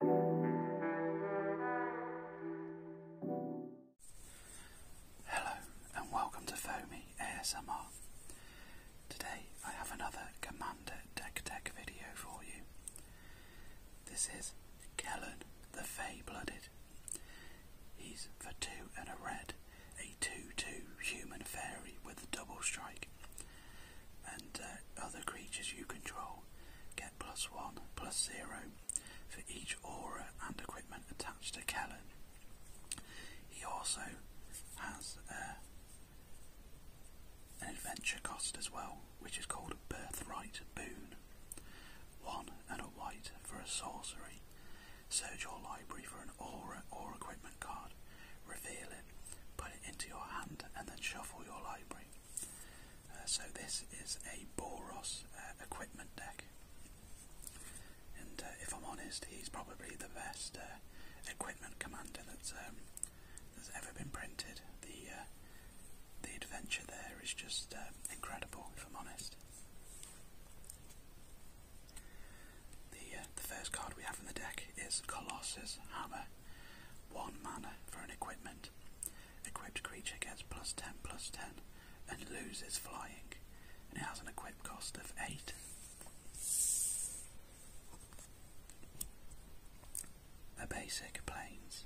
Hello and welcome to Foamy ASMR. Today I have another Commander Deck Deck video for you. This is Kellen the Fey Blooded. He's for two and a red, a 2-2 human fairy with a double strike. And uh, other creatures you control plus 1 plus 0 for each aura and equipment attached to Kellen. He also has uh, an adventure cost as well, which is called Birthright Boon. 1 and a white for a sorcery. Search your library for an aura or equipment card, reveal it, put it into your hand, and then shuffle your library. Uh, so this is a Boros uh, equipment deck, and uh, if I'm honest, he's probably the best equipment commander um, that's ever been printed. The the adventure there is just incredible, if I'm honest. The, the first card we have in the deck is Colossus Hammer. One mana for an equipment. Equipped creature gets plus 10 plus 10 and loses flying, and it has an equip cost of 8. A basic planes.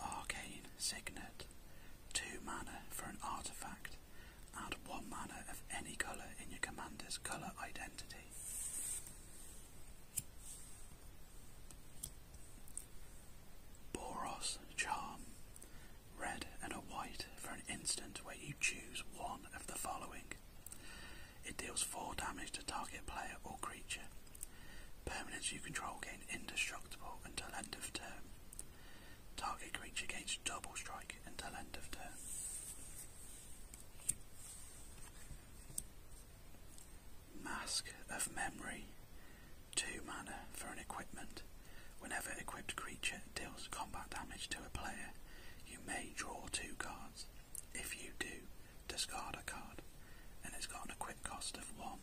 Arcane Signet. 2 mana for an artifact. Add 1 mana of any colour in your commander's colour identity. Boros Charm. Red and a white for an instant where you choose one of the following. It deals 4 damage to target player or creature. Permanents you control gain indestructible until end of turn. Target creature gains double strike until end of turn. Mask of Memory. Two mana for an equipment. Whenever equipped creature deals combat damage to a player, you may draw two cards. If you do, discard a card. And it's got an equip cost of one.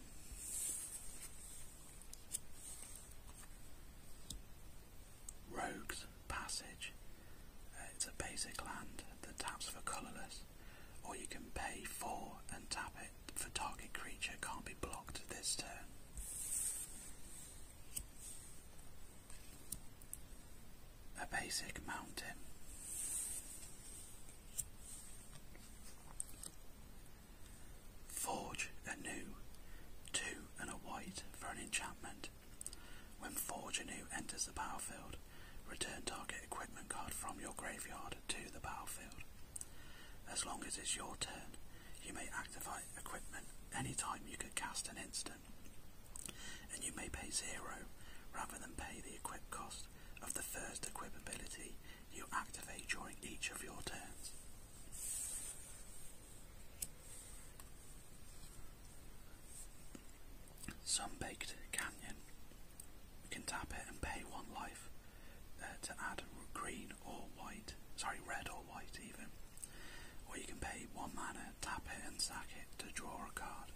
Rogues passage. Uh, it's a basic land that taps for colourless, or you can pay 4 and tap it for target creature can't be blocked this turn. A basic mountain. Forge a new, two and a white for an enchantment. When Forger New enters the battlefield, return target equipment card from your graveyard to the battlefield. As long as it's your turn, you may activate equipment any time you could cast an instant, and you may pay zero rather than pay the equip cost of the first equip ability you activate during each of your turns. Sun-baked canyon. We can tap it and pay one life uh, to add green or white. Sorry, red or white even. Or you can pay one mana, tap it and sack it to draw a card.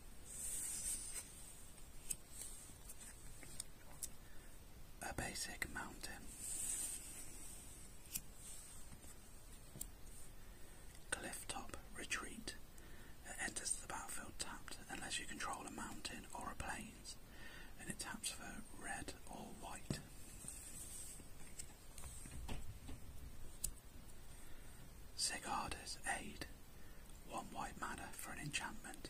A basic mountain. Clifftop Retreat. It enters the battlefield tapped unless you control a mountain or a plains, and it taps for red or white. Sigarda's Aid. One white mana for an enchantment.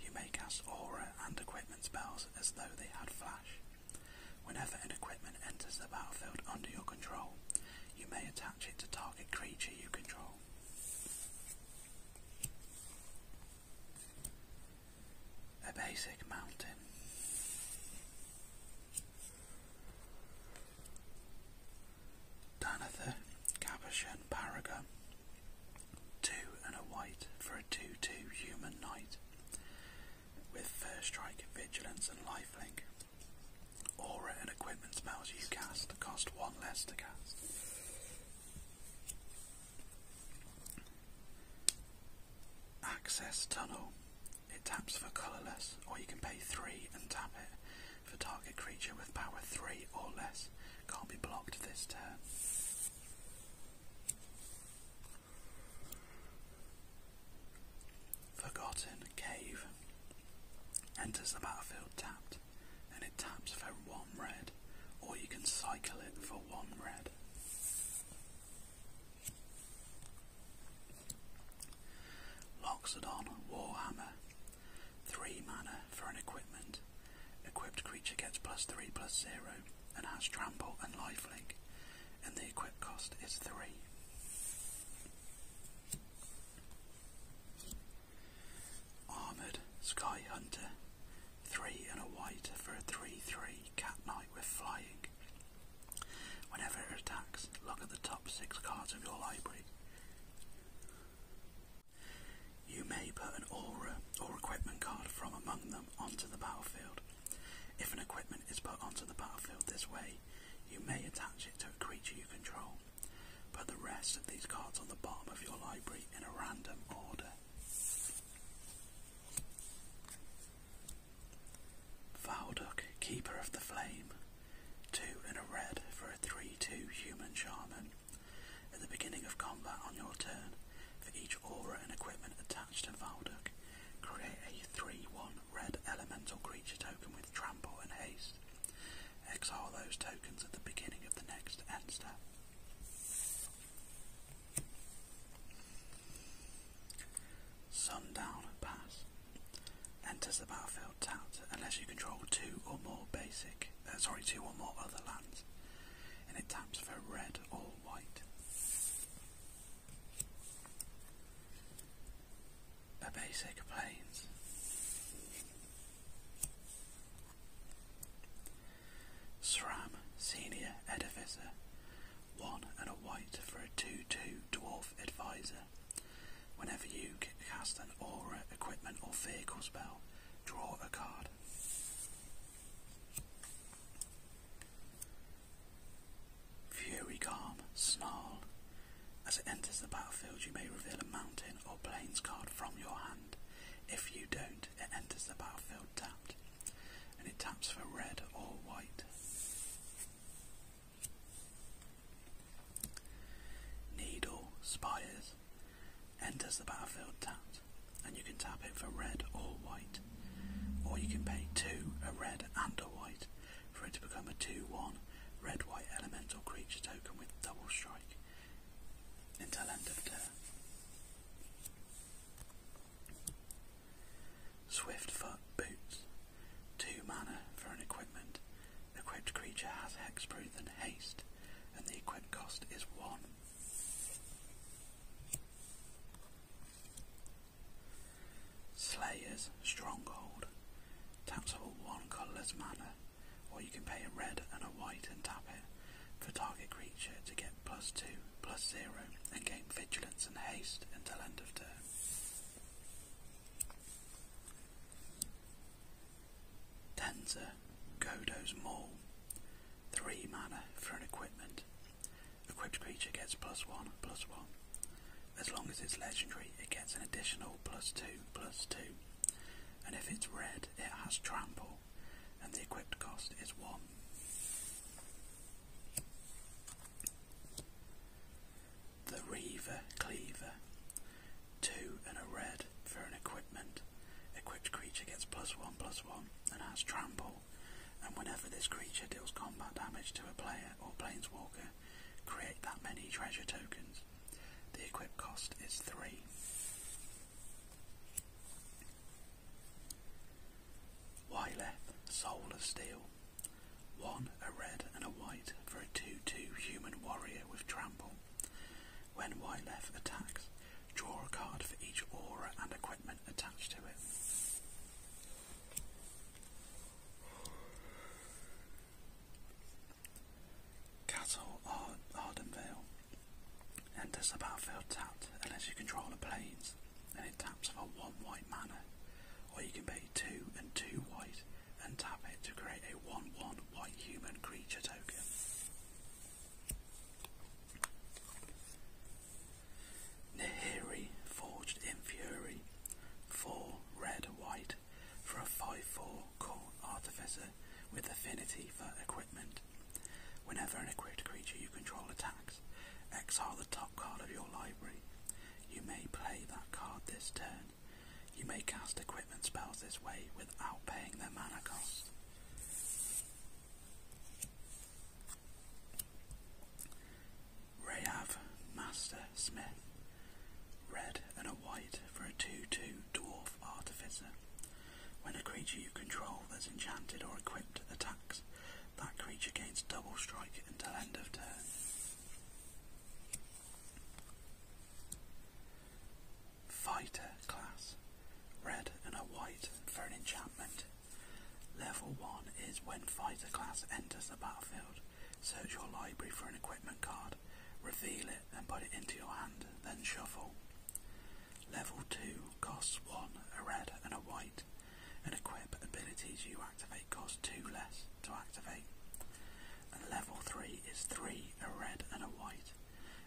You may cast aura and equipment spells as though they had flash. Whenever an equipment enters the battlefield under your control, you may attach it to target creature you control. A basic mountain. Danatha, Cabochon, Paragon. Two and a white for a 2-2 human knight. With first strike, vigilance and lifelink, Aura and equipment spells you cast cost one less to cast. Access Tunnel. It taps for colourless, or you can pay 3 and tap it for target creature with power 3 or less. Can't be blocked this turn. Forgotten cave. Enters the battlefield tapped, and it taps for one red, or you can cycle it for one red. Loxodon Warhammer. 3 mana for an equipment. Equipped creature gets plus 3 plus 0 and has trample and lifelink, and the equip cost is 3. Armoured Sky Hunter, three and a white for a 3-3 Cat Knight we're flying. Whenever it attacks, look at the top six cards of your library. You may put an aura or equipment card from among them onto the battlefield. If an equipment is put onto the battlefield this way, you may attach it to a creature you control. Put the rest of these cards on the bottom of your library in a random order. Valduk, Keeper of the Flame. Two and a red for a 3-2 Human Shaman. At the beginning of combat on your turn, for each aura and equipment attached to Valduk, create a 3-1 red elemental creature token with trample and haste. Exile those tokens at the beginning of the next end step. Sundown Pass. Enters the battlefield tapped unless you control two or more basic, uh, sorry, two or more other lands, and it taps for red or white a basic planes. SRAM Senior Edificer, one and a white for a 2-2 Dwarf Advisor. Whenever you cast an aura, equipment or vehicle spell, draw a card. Fury Calm, Snarl, as it enters the battlefield, you may reveal a mountain or plains card from your hand. If you don't, it enters the battlefield tapped. And it taps for red or white. Needle Spires enters the battlefield tapped, and you can tap it for red or white. Or you can pay two, a red and a white, for it to become a 2-1 red-white elemental creature token with double strike until end of turn. foot Boots. 2 mana for an equipment. Equipped creature has hexproof and haste, and the equipped cost is 1. Slayer's Stronghold. Taps all 1 colourless mana or you can pay a red and a white and tap it for target creature to get plus 2, plus 0 and gain vigilance and haste until end of turn. Tenza, Godo's Maul. 3 mana for an equipment. Equipped creature gets plus 1, plus 1. As long as it's legendary, it gets an additional plus 2 plus 2, and if it's red, it has trample, and the equipped cost is 1. The Reaver Cleaver. 2 and a red for an equipment. Equipped creature gets plus 1 plus 1 and has trample, and whenever this creature deals combat damage to a player or planeswalker, create that many treasure tokens. The equip cost is 3. Wyleth, Soul of Steel. 1, a red and a white for a 2-2 human warrior with trample. When Wyleth attacks, draw a card for each aura and equipment attached to it. Castle Ar Ardenvale. Enters the battlefield tapped unless you control the planes, and it taps for one white mana. Or you can pay two and two white and tap it to create a 1 1 white human creature token. Nahiri Forged in Fury. 4 red, white for a 5-4 core artificer with affinity for equipment. Whenever an equipped creature you control attacks, exile the top card of your library. You may play that card this turn. You may cast equipment spells this way without paying their mana cost. Rayav Master Smith. Red and a white for a 2 2 dwarf artificer. When a creature you control that's enchanted or equipped attacks, that creature gains double strike until end of turn. Fighter class. Red and a white for an enchantment. Level 1 is when fighter class enters the battlefield, Search your library for an equipment card, reveal it and put it into your hand, then shuffle. Level 2 costs 1, a red and a white, and equip abilities you activate cost 2 less to activate. And level 3 is 3, a red and a white,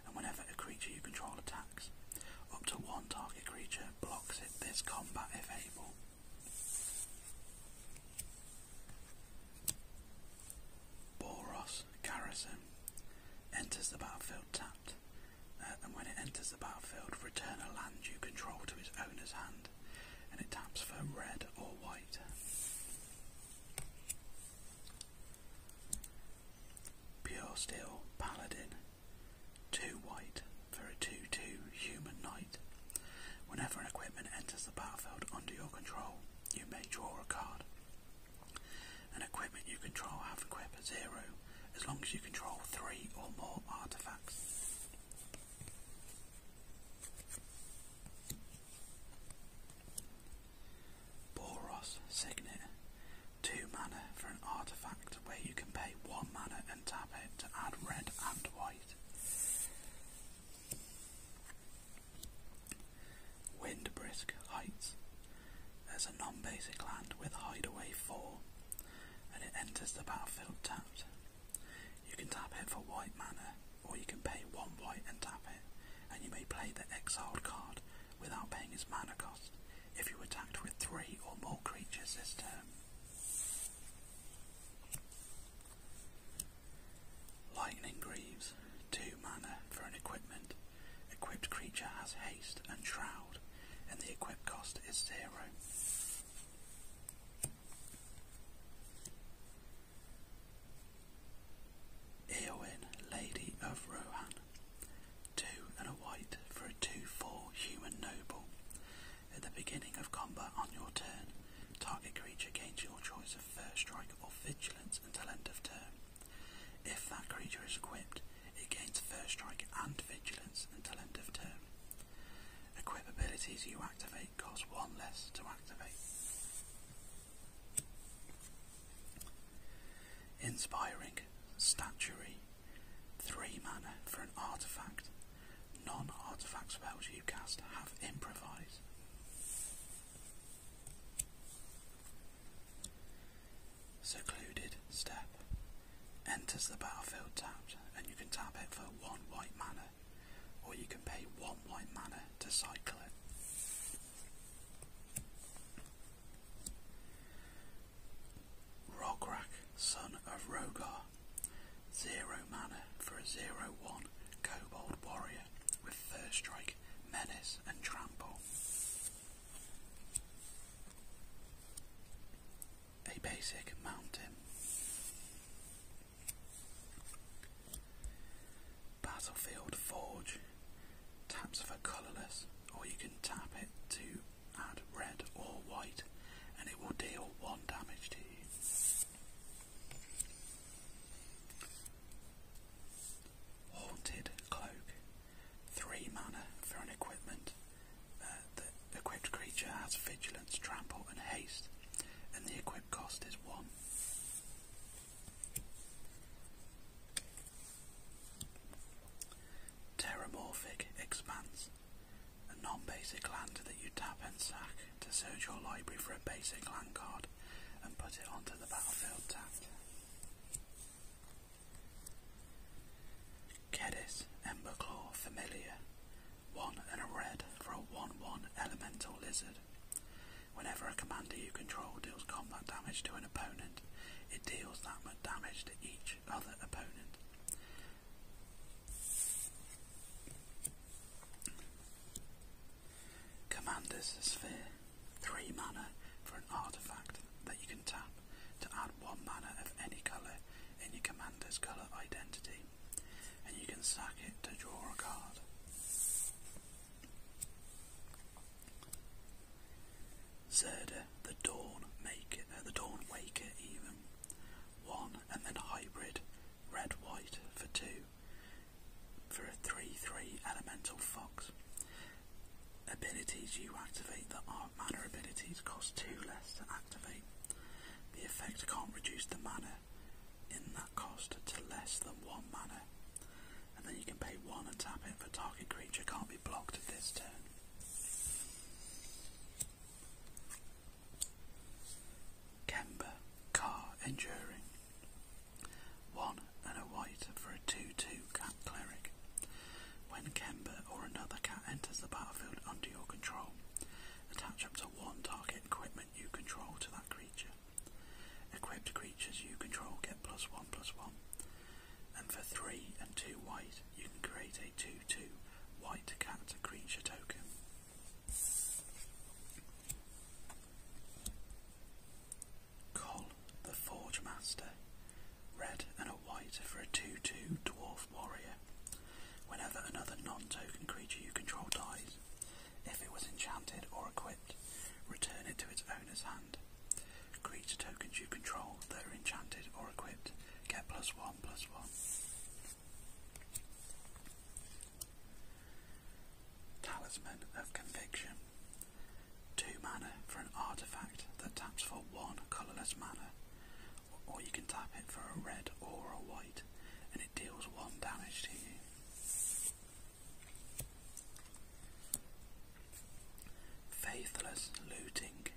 and whenever a creature you control attacks, up to one target creature blocks it this combat is able. Boros Garrison enters the battlefield tapped, uh, and when it enters the battlefield, return a land you control to its owner's hand, and it taps for red or white. Pure Steel Paladin, 2 white for a 2 2 Human Knight. Whenever an equipment enters the battlefield under your control, you may draw a card. An equipment you control have equip a zero as long as you control three or more artifacts. Boros Signet. Two mana for an artifact where you can pay one mana and tap it to add red and white. Windbrisk Heights. There's a non-basic land with Hideaway 4, and it enters the battlefield tapped. You can tap it for white mana, or you can pay one white and tap it, and you may play the exiled card without paying its mana cost if you attacked with three or more creatures this turn. Lightning Greaves, 2 mana for an equipment. Equipped creature has haste and shroud, and the equipped cost is 0. Eowyn, Lady of Rohan, 2 and a white for a 2-4 human noble. At the beginning of combat on your turn, target creature gains your choice First Strike or Vigilance until end of turn. If that creature is equipped, it gains First Strike and Vigilance until end of turn. Equip abilities you activate cost one less to activate. Inspiring Statuary 3 mana for an artifact. Non artifact spells you cast have improvise. Secluded step. Enters the battlefield tapped, and you can tap it for one white mana, or you can pay one white mana to cycle it. Rograk, son of Rogar. Zero mana for a zero one kobold warrior with third strike menace, and trample. A basic mountain. Battlefield Forge taps for colourless, or you can tap it to add red or white, and it will deal one damage to you. Haunted Cloak. Three mana for an equipment. Uh, that equipped creature has vigilance, trample, and haste, and the equip cost is one. Terramorphic Expanse. A non basic land that you tap and sack to search your library for a basic land card and put it onto the battlefield tab. Kedis, Emberclaw, Familiar. One and a red for a 1-1 Elemental Lizard. Whenever a commander you control deals combat damage to an opponent, it deals that much damage to each other opponent. Commander's Sphere. 3 mana for an artifact that you can tap to add 1 mana of any colour in your commander's colour identity, and you can sack it to draw a card. Zerda, the Dawn Maker, uh, the Dawn Waker even. One and then hybrid, red white for two for a 3-3 elemental fox. Abilities you activate that are mana abilities cost 2 less to activate. The effect can't reduce the mana in that cost to less than 1 mana. And then you can pay 1 and tap it The target creature can't be blocked at this turn. Kemba, car enduring. One and a white for a 2-2 cat cleric. When Kemba or another cat enters the battlefield under your control, attach up to one target equipment you control to that creature. Equipped creatures you control get plus one plus one. And for three and two white, you can create a 2-2 white cat creature token. Col, the Forge Master, red and a white for a 2-2 Dwarf Warrior. Whenever another non-token creature you control dies, if it was enchanted or equipped, return it to its owner's hand. Creature tokens you control that are enchanted or equipped get plus one plus one. Talisman of Conviction. Two mana for an artifact that taps for one colourless mana, or you can tap it for a red or a white, and it deals one damage to you. Faithless Looting.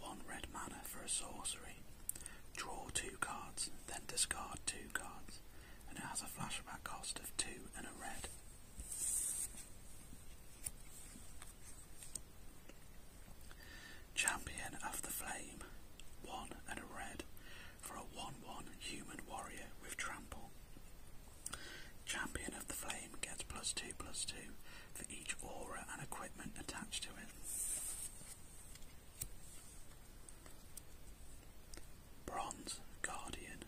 One red mana for a sorcery. Draw two cards, then discard two cards, and it has a flashback cost of two and a red. Champion of the Flame, one and a red for a 1 1 human warrior with trample. Champion of the Flame gets plus 2 plus 2 for each aura and equipment attached to it. Bronze Guardian,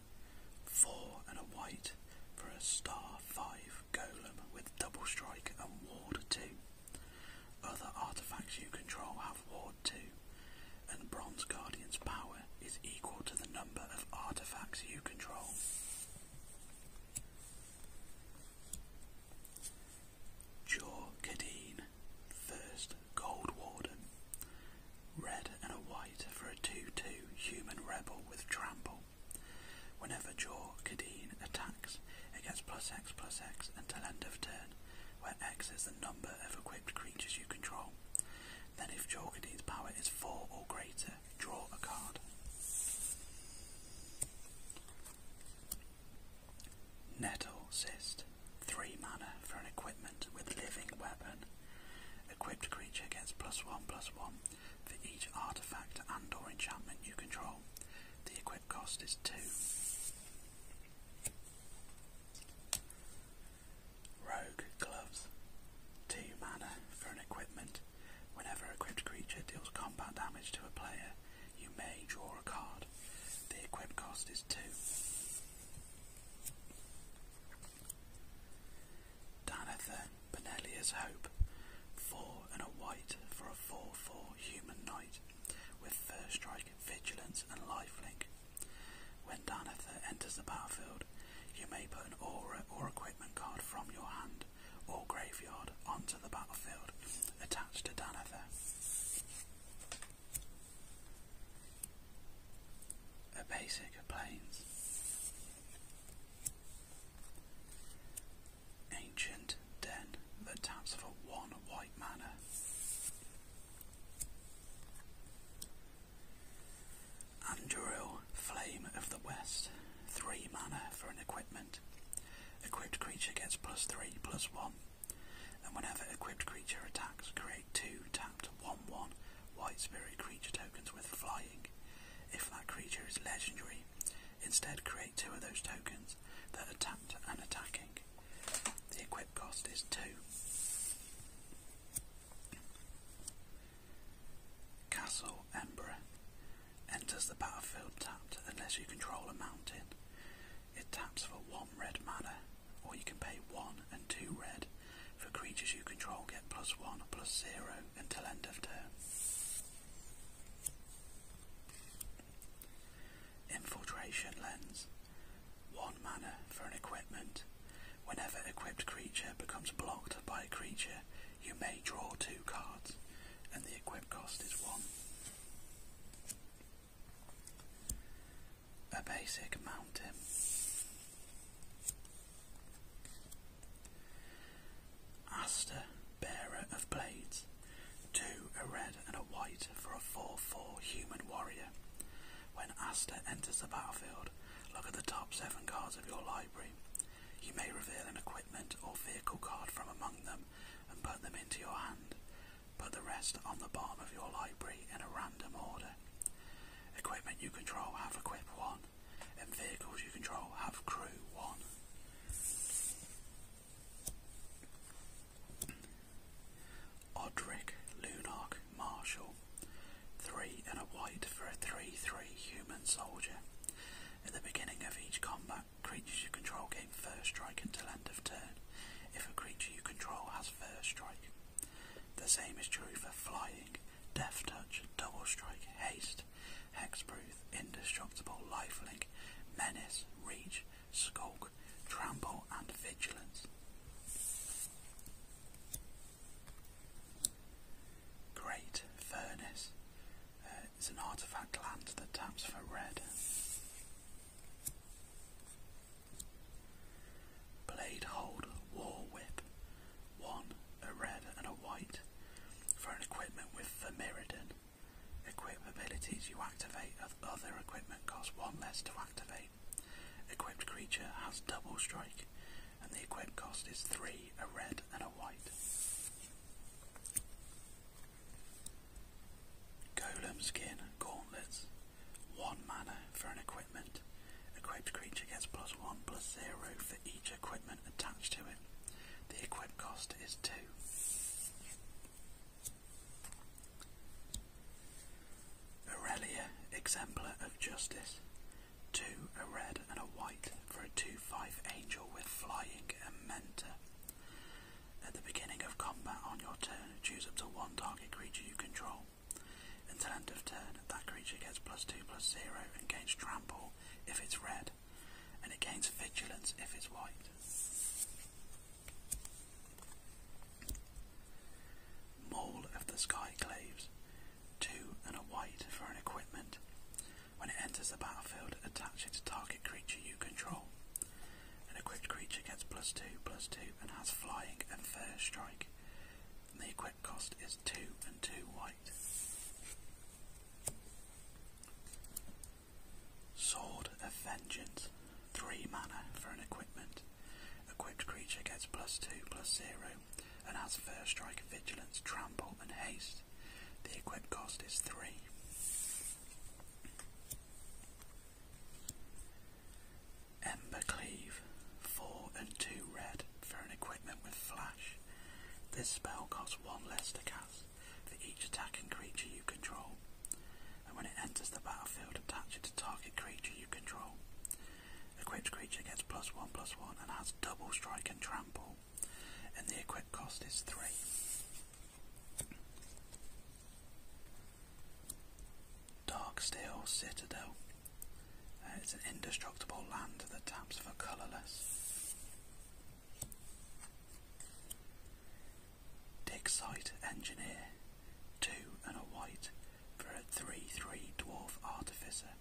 four and a white for a star five golem with double strike and ward two. Other artifacts you control have ward two, and Bronze Guardian's power is equal to the number of artifacts you control. Jor Kadeen, first Gold Warden, Red and a white for a 2-2 human rebel with trample. Whenever Jaw Kadeen attacks, it gets plus X plus X until end of turn, where X is the number of equipped creatures you control. Then if Jaw Kadeen's power is 4 or greater, draw a card. Nettle Cyst. 3 mana for an equipment with living weapon. Equipped creature gets plus one plus one for each artifact and or enchantment you control. The equipped cost is two. Rogue gloves. Two mana for an equipment. Whenever an equipped creature deals combat damage to a player, you may draw a card. The equipped cost is two. Danathan Benelia's Hope, four and a white for a 4-4 human knight with first strike, vigilance and life link. When Danatha enters the battlefield, you may put an aura or equipment card from your hand or graveyard onto the battlefield attached to Danatha a basic of planes. Ancient den that taps for one white manor. Anduril, Flame of the West, 3 mana for an equipment. Equipped creature gets plus 3, plus 1. And whenever equipped creature attacks, create 2 tapped 1 1 white spirit creature tokens with flying. If that creature is legendary, instead create two of those tokens that are tapped and attacking. The equip cost is two. Castle Ember enters the battlefield tapped unless you control a mountain. It taps for one red mana, or you can pay one and two red for creatures you control get plus one, plus zero until end of turn. Infiltration Lens. One mana for an equipment. Whenever equipped creature becomes blocked by a creature, you may draw two cards, and the equip cost is one. A basic mountain. Aster, bearer of blades. Two, a red and a white for a 4-4 human warrior. When Aster enters the battlefield, look at the top seven cards of your library. You may reveal an equipment or vehicle card from among them and put them into your hand. Put the rest on the bottom of your library in a random order. Equipment you control have equip 1, and vehicles you control have crew one. Odric, Lunark, Marshall. Three and a white for a 3-3 human soldier. At the beginning of each combat, creatures you control gain first strike until end of turn, if a creature you control has first strike. The same is true for flying, Death Touch, Double Strike, Haste, Hexproof, Indestructible, life link, Menace, Reach, Skulk, Trample and Vigilance. Great Furnace uh, is an artifact land that taps for red. Blade Hold, War Whip, one, a red and a white, for an equipment with the Vermirion. Equip abilities you activate other equipment costs one less to activate. Equipped creature has double strike, and the equip cost is three, a red and a white. Golem skin gauntlets. One mana for an equipment. Equipped creature gets plus 1 plus 0 for each equipment attached to it. The equip cost is 2. Aurelia, Exemplar of Justice. 2, a red and a white for a 2-5 angel with flying and mentor. At the beginning of combat on your turn, choose up to one target creature you control. Until end of turn, that creature gets plus 2 plus 0 and gains trample if it's red, and it gains vigilance if it's white. Mole of the Skyclaves. 2 and white for an equipment. When it enters the battlefield, attach it to target creature you control. An equipped creature gets plus 2 plus 2 and has flying and fair strike cost is two and two white. Sword of Vengeance. Three mana for an equipment. Equipped creature gets plus two, plus zero, and has first strike, vigilance, trample, and haste. The equipped cost is three. Ember Cleave. 4 and 2 red for an equipment with flash. This spell costs 1 less to cast for each attacking creature you control, and when it enters the battlefield, attach it to target creature you control. The Equipped creature gets plus 1 plus 1 and has double strike and trample, and the equip cost is 3. Darksteel Citadel it's an indestructible land that taps for colourless. Dig site engineer, two and a white for a 3-3 dwarf artificer.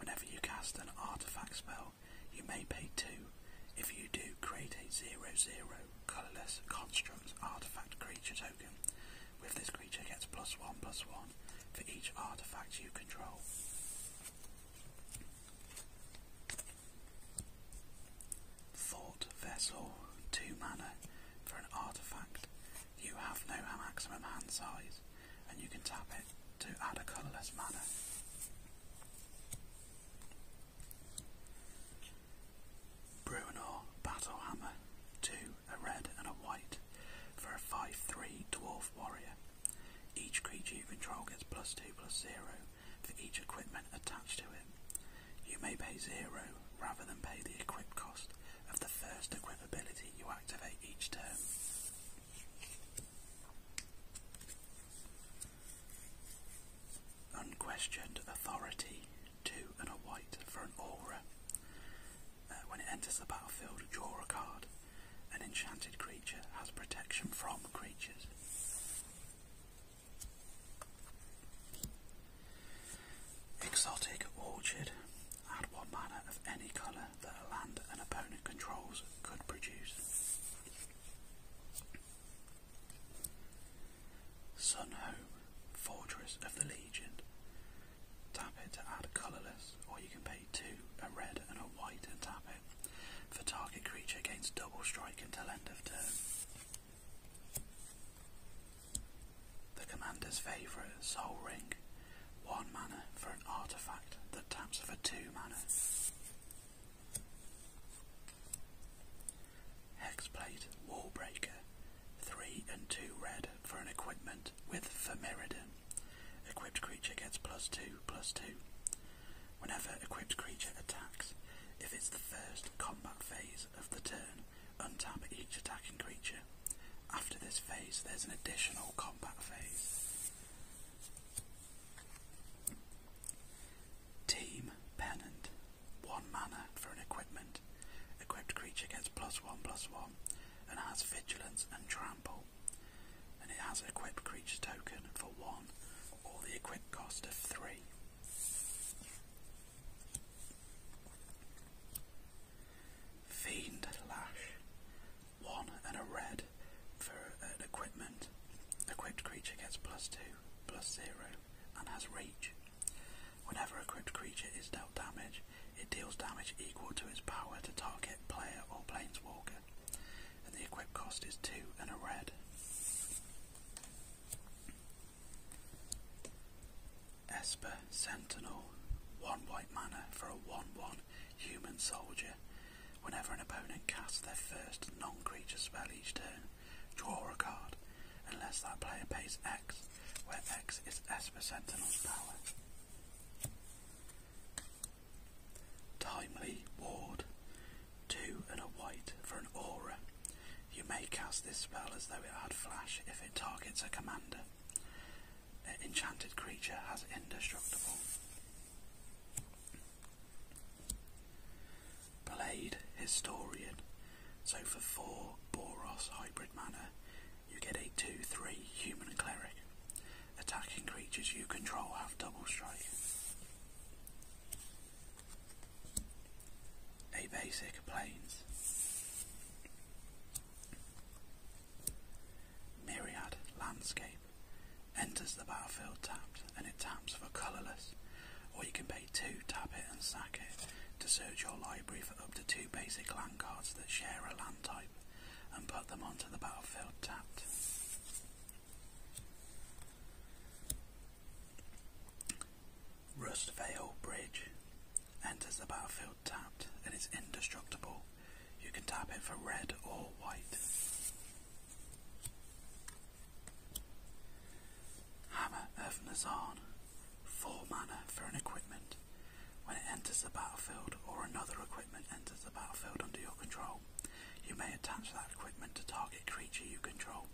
Whenever you cast an artifact spell, you may pay two. If you do, create a 0-0 colourless construct artifact creature token. With this creature gets plus one plus one for each artifact you control. Thought Vessel, 2 mana for an artifact. You have no maximum hand size, and you can tap it to add a colourless mana. Bruinor Battlehammer, 2 a red and a white for a 5-3 Dwarf Warrior. Each creature you control gets plus 2 plus 0 for each equipment attached to it. You may pay 0 rather than pay the equip cost of the first equip ability you activate each turn. Unquestioned Authority, 2 and a white for an aura. Uh, when it enters the battlefield, draw a card. An enchanted creature has protection from creatures. Exotic Orchard. Add one mana of any colour that a land an opponent controls could produce. Sunhome, Fortress of the Legion. Tap it to add colourless, or you can pay two, a red and a white, and tap it. For target creature gains double strike until end of turn. The commander's favourite, Soul Ring. One mana for an artifact that taps for two mana. Hexplate Wallbreaker. Three and two red for an equipment with Vermeridon. Equipped creature gets plus 2, plus 2. Whenever equipped creature attacks, if it's the first combat phase of the turn, untap each attacking creature. After this phase, there's an additional combat phase. Team Pennant. One mana for an equipment. Equipped creature gets plus one plus one and has vigilance and trample and it has an equipped creature token for one or the equipped cost of three. Fiend Lash. One and a red for an equipment. Equipped creature gets plus two, plus zero, and has reach. Whenever equipped creature is dealt damage, it deals damage equal to its power to target player or planeswalker, and the equip cost is 2 and a red. Esper Sentinel, 1 white mana for a 1 1 human soldier. Whenever an opponent casts their first non creature spell each turn, draw a card, unless that player pays X, where X is Esper Sentinel's power. Timely ward. Two and a white for an aura. You may cast this spell as though it had flash if it targets a commander. An enchanted creature has indestructible. Blade Historian. So for four Boros hybrid mana, you get a 2-3 human cleric. Attacking creatures you control have double strike. A basic planes. Myriad landscape. Enters the battlefield tapped and it taps for colourless. Or you can pay two, tap it and sack it to search your library for up to two basic land cards that share a land type and put them onto the battlefield tapped. Rust Vale Bridge enters the battlefield tapped and is indestructible. You can tap it for red or white. Hammer of Nazan, 4 mana for an equipment. When it enters the battlefield or another equipment, equipment enters the battlefield under your control. You may attach that equipment to target creature you control.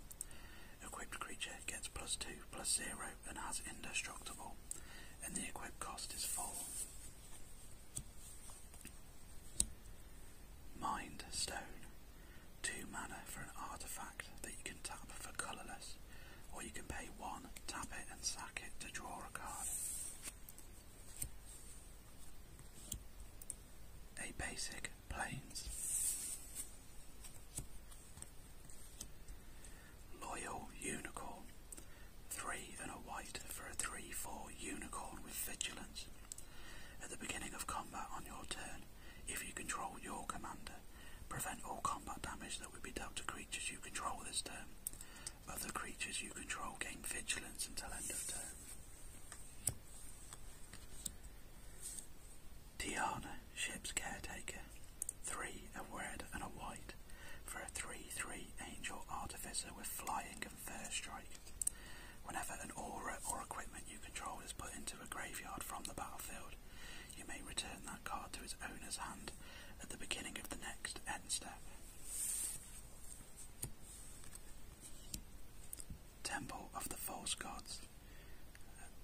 Equipped creature gets plus 2, plus 0 and has indestructible, and the equip cost is 4. Mind Stone. 2 mana for an artifact that you can tap for colourless, or you can pay 1, tap it and sack it to draw a card a basic plains, loyal unicorn, three and a white for a three-four unicorn with vigilance. At the beginning of combat on your turn, if you control your commander, prevent all combat damage that would be dealt to creatures you control this turn. Other creatures you control gain vigilance until end of turn. Tiana, ship's caretaker. Three, a red and a white, for a 3-3 angel artificer with flying and first strike. Whenever an aura or equipment you control is put into a graveyard from the battlefield, you may return that card to its owner's hand at the beginning of the next end step. Temple of the False Gods.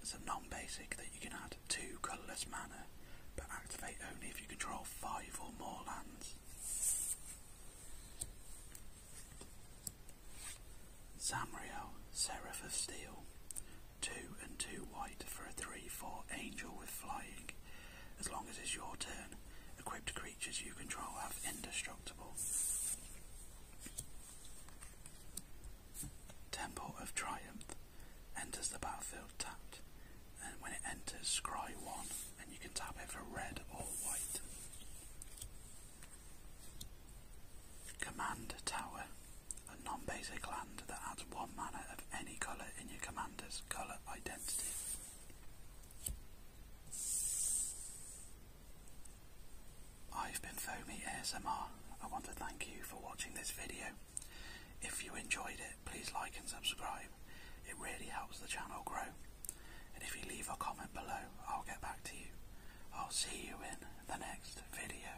It's a non-basic that you can add to colourless mana, but activate only if you control five or more lands. Samriel, Seraph of Steel. Two and two white for a 3-4 angel with flying. As long as it's your turn, equipped creatures you control have indestructible. Temple of Triumph enters the battlefield tapped, and when it enters, scry 1, and you can tap it for red or white. Command Tower, a non basic land that adds one mana of any colour in your commander's colour identity. I've been Foamy ASMR. I want to thank you for watching this video. If you enjoyed it, please like and subscribe. It really helps the channel grow. And if you leave a comment below, I'll get back to you. I'll see you in the next video.